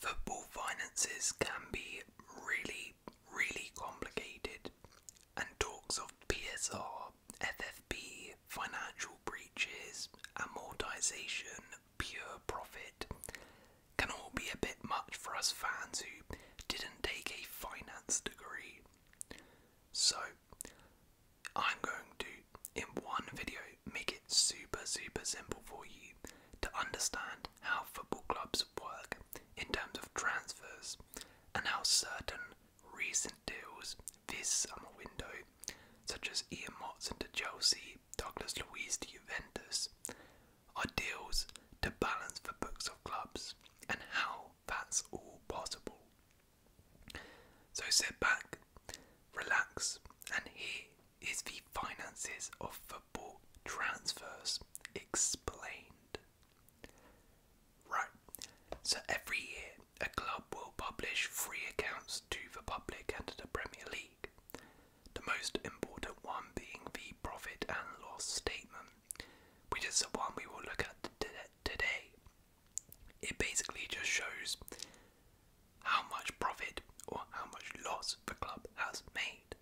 Football finances can be really, really complicated, and talks of PSR, FFP, financial breaches, amortization, pure profit can all be a bit much for us fans who didn't take a finance degree. So, I'm going to, in one video, make it super, super simple for you to understand how football clubs work in terms of transfers and how certain recent deals this summer window, such as Ian Watson to Chelsea, Douglas Luiz to Juventus, are deals to balance the books of clubs and how that's all possible. So sit back, relax, and here is the finances of football transfers explained. Right, so every year a club will publish free accounts to the public and to the Premier League. The most important one being the profit and loss statement, which is the one we will look at today. It basically just shows how much profit or how much loss the club has made.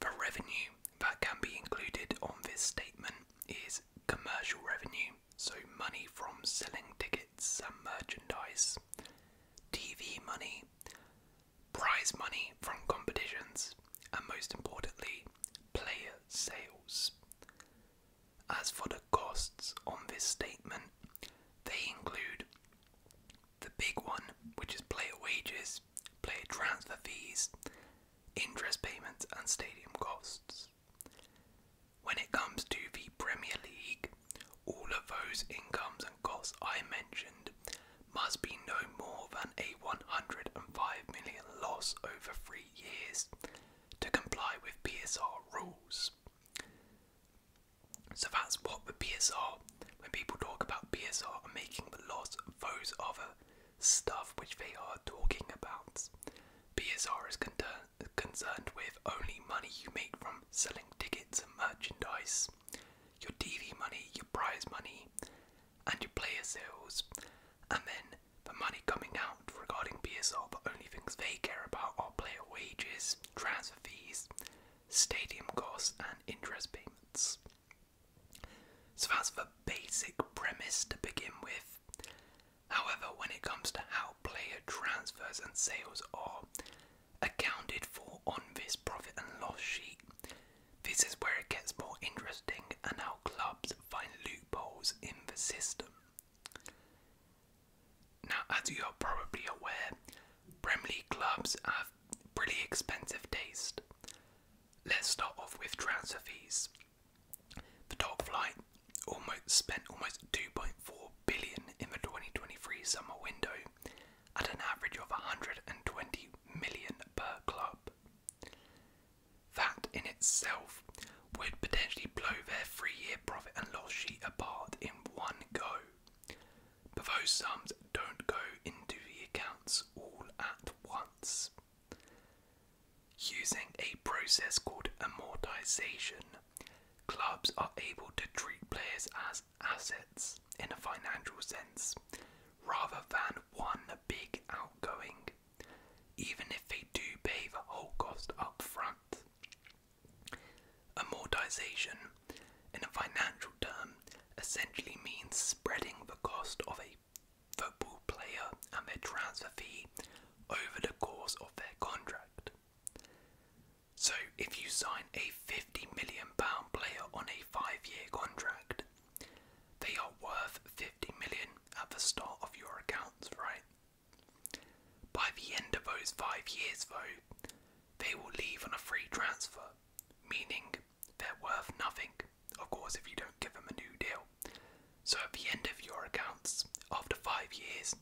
The revenue that can be included on this statement is commercial revenue, so money from selling tickets and merchandise, TV money, prize money from competitions, and most importantly, player sales. As for the costs on this statement, they include the big one, which is player wages, player transfer fees, interest payments, and stadium costs. When it comes to the Premier League, all of those incomes and costs I mentioned must be no more than a 105 million loss over three years to comply with PSR rules. So that's what the PSR, when people talk about PSR, are making the loss of those other stuff which they are talking about. PSR is concerned with only money you make from selling tickets and merchandise, your TV money, your prize money, and your player sales, and then the money coming out regarding PSR, but only things they care about are player wages, transfer fees, stadium costs, and interest payments. So that's the basic premise to begin with. However, when it comes to how player transfers and sales are accounted for on this profit and loss sheet, this is where it gets more interesting and how clubs find loopholes in the system. Now, as you are probably aware, Premier League clubs have pretty expensive taste. Let's start off with transfer fees. The top flight almost spent almost 2.4 billion in the 2023 summer window at an average of 120 million per club. That in itself would potentially blow their three year profit and loss sheet apart in one go. But those sums don't go into the accounts all at once. Using a process called amortization, clubs are able to treat players as assets in a financial sense rather than one big outgoing, even if they do pay the whole cost up front. Amortization, in a financial term, essentially means spreading the cost of a football player and their transfer fee over the course of their contract. So, if you sign a £50 million player on a five year contract, they are worth £50 at the start of your accounts, right? By the end of those five years, though, they will leave on a free transfer, meaning they're worth nothing, of course, if you don't give them a new deal. So at the end of your accounts, after five years,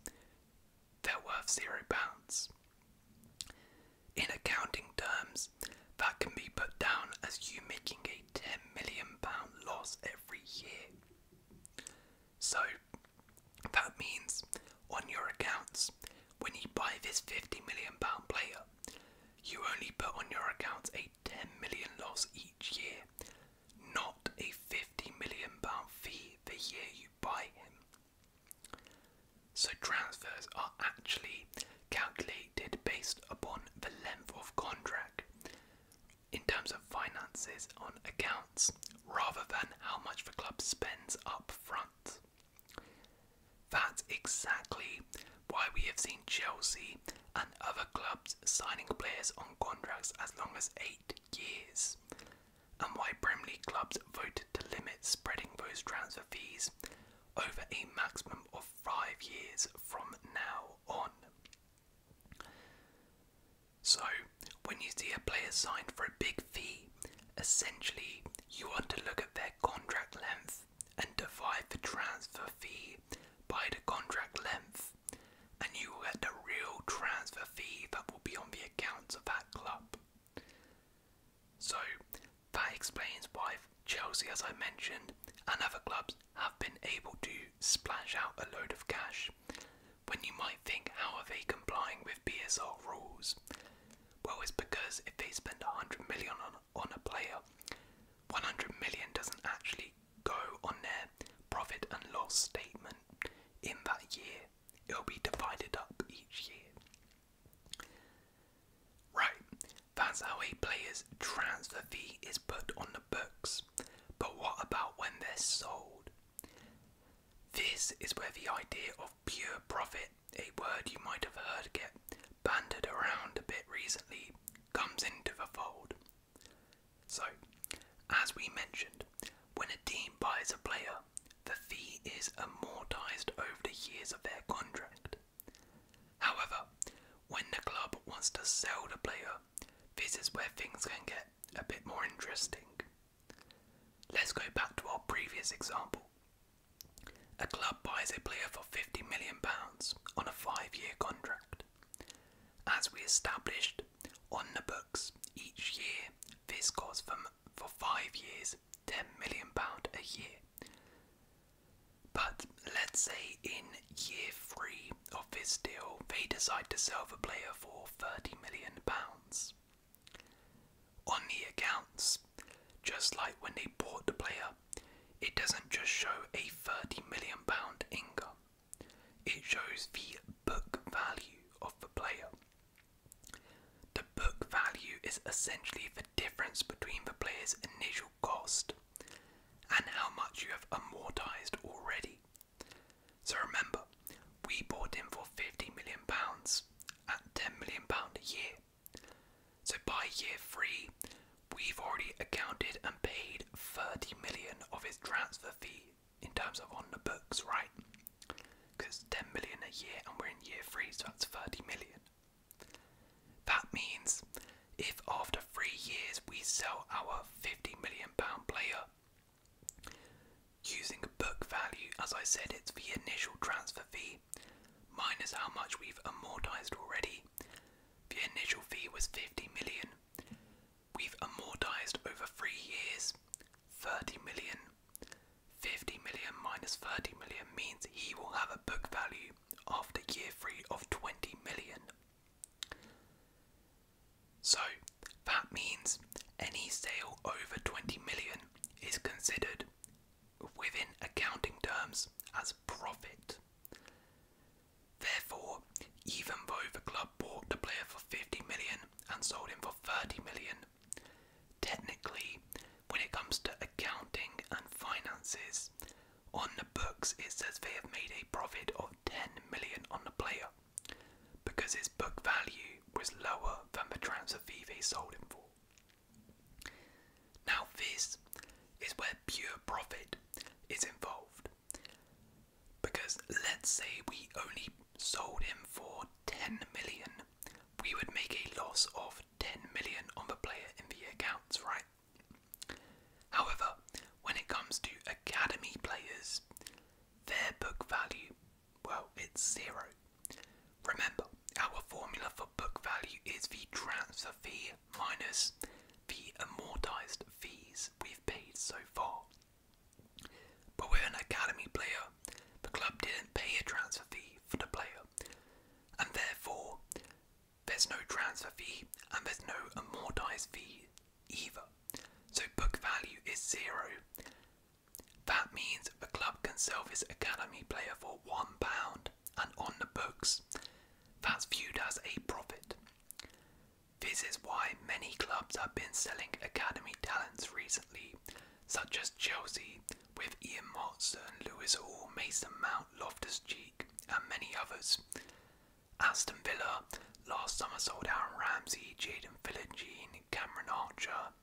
they're worth zero pounds. In accounting terms, that can be put down as you making a £10 million loss every year. So, that means on your accounts, when you buy this 50 million pound player, you only put on your accounts a 10 million loss each year, not a 50 million pound fee the year you buy him. So transfers are actually calculated based upon the length of contract in terms of finances on account rather than how much the club spends up front. That's exactly why we have seen Chelsea and other clubs signing players on contracts as long as eight years, and why Premier League clubs voted to limit spreading those transfer fees over a maximum of five years from now on. So, when you see a player signed for a big fee, essentially you want to look at their contract length and divide the transfer fee by the contract length, and you will get the real transfer fee that will be on the accounts of that club. So, that explains why Chelsea, as I mentioned, and other clubs have been able to splash out a load of cash when you might think, how are they complying with BSR rules? Well, it's because if they spend 100 million on, on a player, 100 million doesn't actually go on their profit and loss statement in that year. It'll be divided up each year. Right, that's how a player's transfer fee is put on the books. But what about when they're sold? This is where the idea of pure profit, a word you might have heard get bandied around a bit recently, comes into the fold. So, as we mentioned, when a team buys a player, the fee is amortized over the years of their contract. However, when the club wants to sell the player, this is where things can get a bit more interesting. Let's go back to our previous example. A club buys a player for £50 million on a five year contract. As we established on the books, each year this costs them for five years £10 million a year. But let's say in year three of this deal, they decide to sell the player for £30 million. On the accounts, just like when they bought the player, it doesn't just show a 30 million pound income. It shows the book value of the player. The book value is essentially the difference between the player's initial cost and how much you have amortized already. So remember, we bought him for £50 million at £10 million a year. So by year three, we've already accounted and paid 30 million of his transfer fee in terms of on the books, right? Because 10 million a year and we're in year three, so that's 30 million. That means if after three years we sell our 50 million pound player, Using book value, as I said, it's the initial transfer fee minus how much we've amortized already. The initial fee was 50 million. We've amortized over three years 30 million. 50 million minus 30 million means he will have a book value after year three of 20 million. So that means any sale over 20 million is considered within accounting terms as profit. Therefore, even though the club bought the player for 50 million and sold him for 30 million, technically, when it comes to accounting and finances, on the books it says they have made a profit 10 million on the player because his book value was lower than the transfer fee they sold him for. Now, this is where pure profit is involved because let's say we only sold him for 10 million, we would make a loss of 10 million on the player in the accounts, right? However, when it comes to academy players, their book value, well, it's zero. Remember, our formula for book value is the transfer fee minus the amortized fees we've paid so far. But we're an academy player. The club didn't pay a transfer fee for the player, and therefore, there's no transfer fee and there's no amortized fee either. So book value is zero. That means the club can sell this academy player for one pound and on the books. That's viewed as a profit. This is why many clubs have been selling academy talents recently, such as Chelsea with Ian Watson, Lewis Hall, Mason Mount, Loftus Cheek, and many others. Aston Villa last summer sold Aaron Ramsey, Jaden Philogene, Cameron Archer.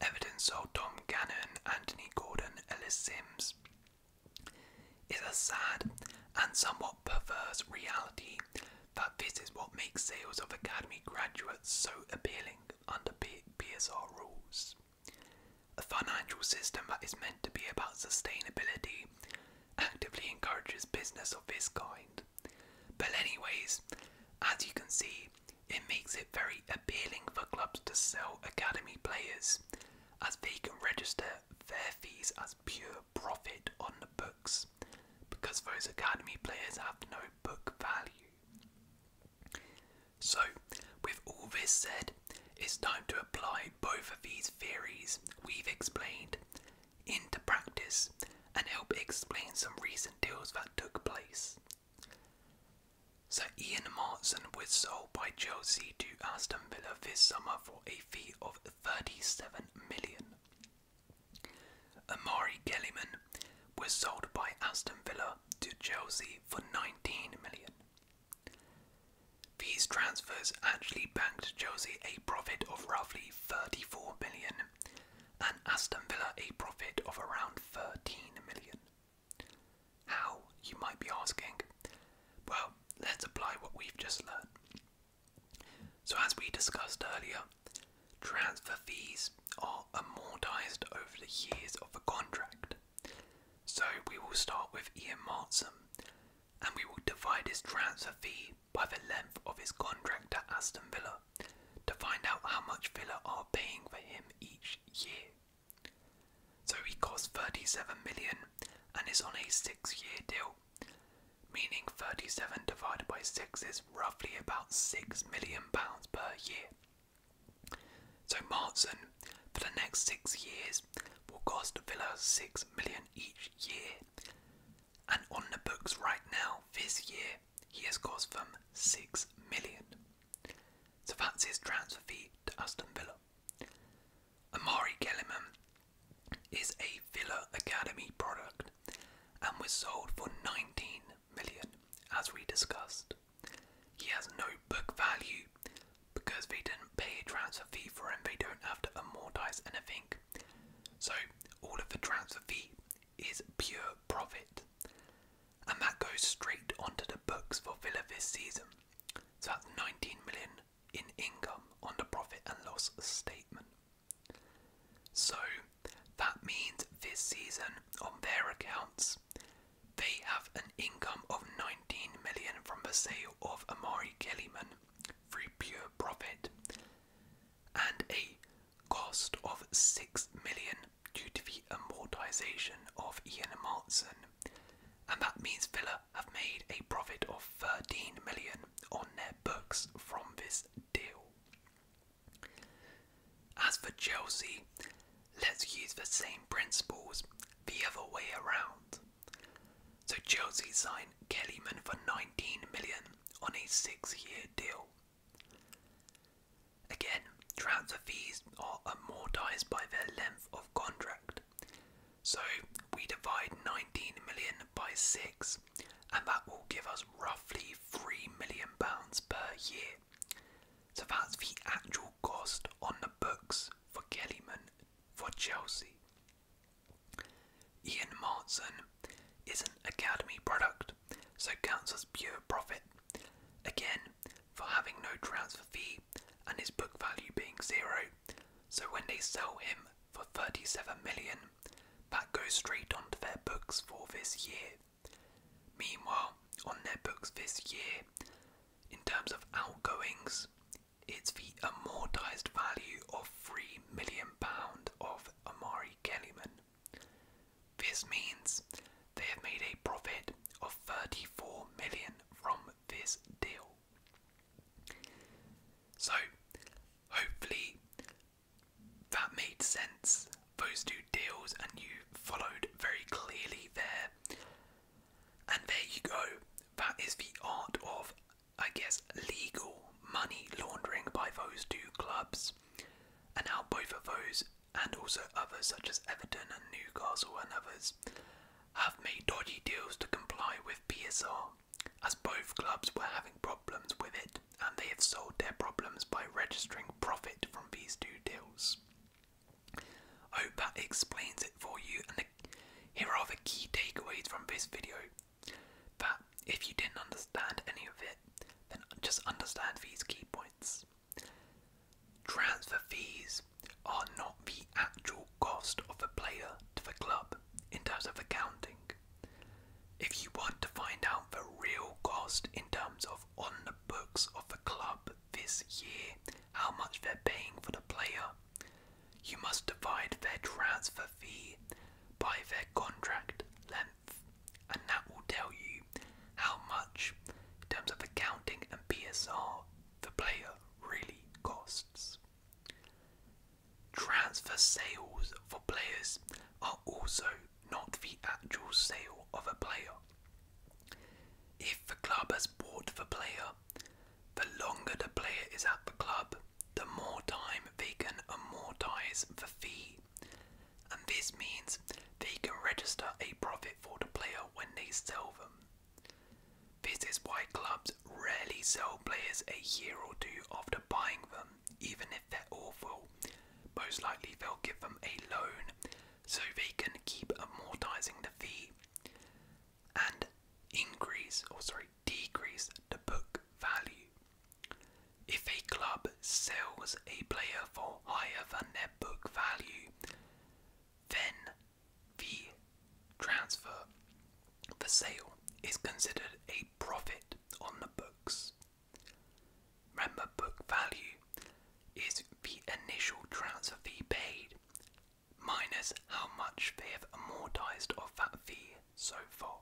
Everton sold Tom Gannon, Anthony Gordon, Ellis Sims. It's a sad and somewhat perverse reality that this is what makes sales of academy graduates so appealing under PSR rules. A financial system that is meant to be about sustainability actively encourages business of this kind. But anyways, as you can see, it makes it very appealing for clubs to sell academy players as they can register their fees as pure profit on the books because those academy players have no book value. So, with all this said, it's time to apply both of these theories we've explained into practice and help explain some recent deals that took place. So Ian Martson was sold by Chelsea to Aston Villa this summer for a fee of 37 million. Amari Gelliman was sold by Aston Villa to Chelsea for 19 million. These transfers actually banked Chelsea a profit of roughly 34 million and Aston Villa a profit of around 13 million. How, you might be asking? Well, let's apply what we've just learned. So, as we discussed earlier, transfer fees are amortised over the years of a contract. So, we will start with Ian Martson and we will divide his transfer fee by the length of his contract at Aston Villa to find out how much Villa are paying for him each year. So he costs 37 million and is on a six year deal, meaning 37 divided by 6 is roughly about 6 million pounds per year. So Martson, for the next six years, will cost Villa 6 million each year, and on the books right now this year he has cost them 6 million. So that's his transfer fee to Aston Villa. Amari Kellerman is a Villa Academy product and was sold for 19 million as we discussed. He has no book value because they didn't pay a transfer fee for him, they don't have to amortize anything. So all of the transfer fee is pure profit. And that goes straight onto the books for Villa this season. So that's 19 million in income on the profit and loss statement. So that means this season on their accounts they have an income of 19 million from the sale of Amari Kellyman through pure profit and a cost of six million due to the amortization of Ian Martson. And that means Villa have made a profit of 13 million on their books from this deal. As for Chelsea, let's use the same principles the other way around. So Chelsea signed Kellyman for 19 million on a six-year deal. Again, transfer fees are amortized by their length of contract. So we divide 19 million by 6 and that will give us roughly 3 million pounds per year. So that's the actual cost on the books for Kellyman for Chelsea. Ian Martson is an Academy product, so counts as pure profit. Again, for having no transfer fee and his book value being zero, so when they sell him for 37 million, that goes straight onto their books for this year. Meanwhile, on their books this year, in terms of outgoings, it's the amortized value of or three million pound of Amari Kellyman. This means they have made a profit of 34 million from this deal. So, hopefully, that made sense. Those two deals, and you followed very clearly there. And there you go. That is the art of I guess, legal money laundering by those two clubs. And now both of those, and also others such as Everton and Newcastle and others, have made dodgy deals to comply with PSR, as both clubs were having problems with it, and they have solved their problems by registering profit from these two deals. I hope that explains it for you, and here are the key takeaways from this video. But if you didn't understand any of it, then just understand these key points. Transfer fees are not the actual cost of the player to the club in terms of accounting. If you want to find out the real cost in terms of on the books of the club this year, how much they're paying for the player, you must divide their transfer fee by their contract length, and that will tell you how much, in terms of accounting and PSR, the player really costs. Transfer sales for players are also not the actual sale of a player. If a club has bought the player, the longer the player is at the club, the more time they can amortize the fee. And this means they can register a profit for the player when they sell them. This is why clubs rarely sell players a year or two after buying them, even if they're awful. Most likely they'll give them a loan so they can keep amortizing the fee and increase or oh, sorry decrease the book value. If a club sells a player for higher than their book value, then the transfer, the sale, is considered a profit on the books. Remember, book value is the initial transfer fee paid minus how much they have amortized of that fee so far.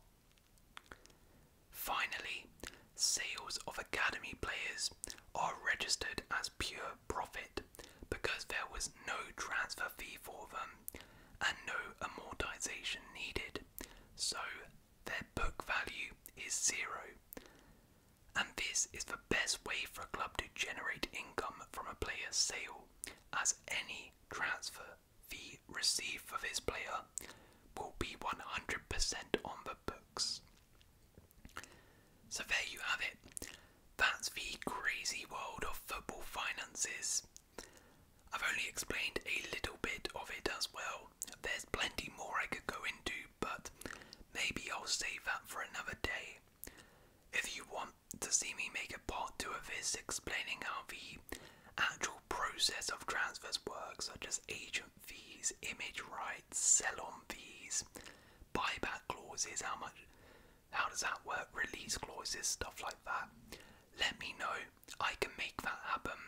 Finally, sales of academy players are registered as pure profit because there was no transfer fee for them and no amortization needed, so their book value is zero. And this is the best way for a club to generate income from a player's sale as any transfer the receipt for this player will be 100% on the books. So there you have it. That's the crazy world of football finances. I've only explained a little bit of it as well. There's plenty more I could go into, but maybe I'll save that for another day. If you want to see me make a part two of this explaining how the actual process of transfers works, such as agent fees, image rights, sell on fees, buyback clauses, how much how does that work, release clauses, stuff like that. Let me know. I can make that happen.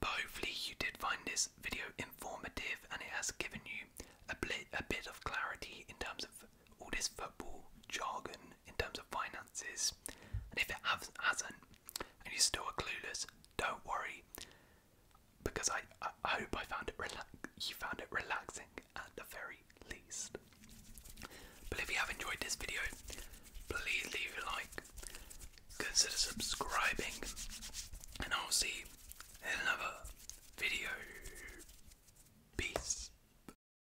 But hopefully you did find this video informative and it has given you a bit a bit of clarity in terms of all this football jargon in terms of finances, and if it has, not and you are still are clueless, don't worry, because I, hope I found it you found it relaxing at the very least. But if you have enjoyed this video, please leave a like, consider subscribing, and I'll see you in another video. Peace.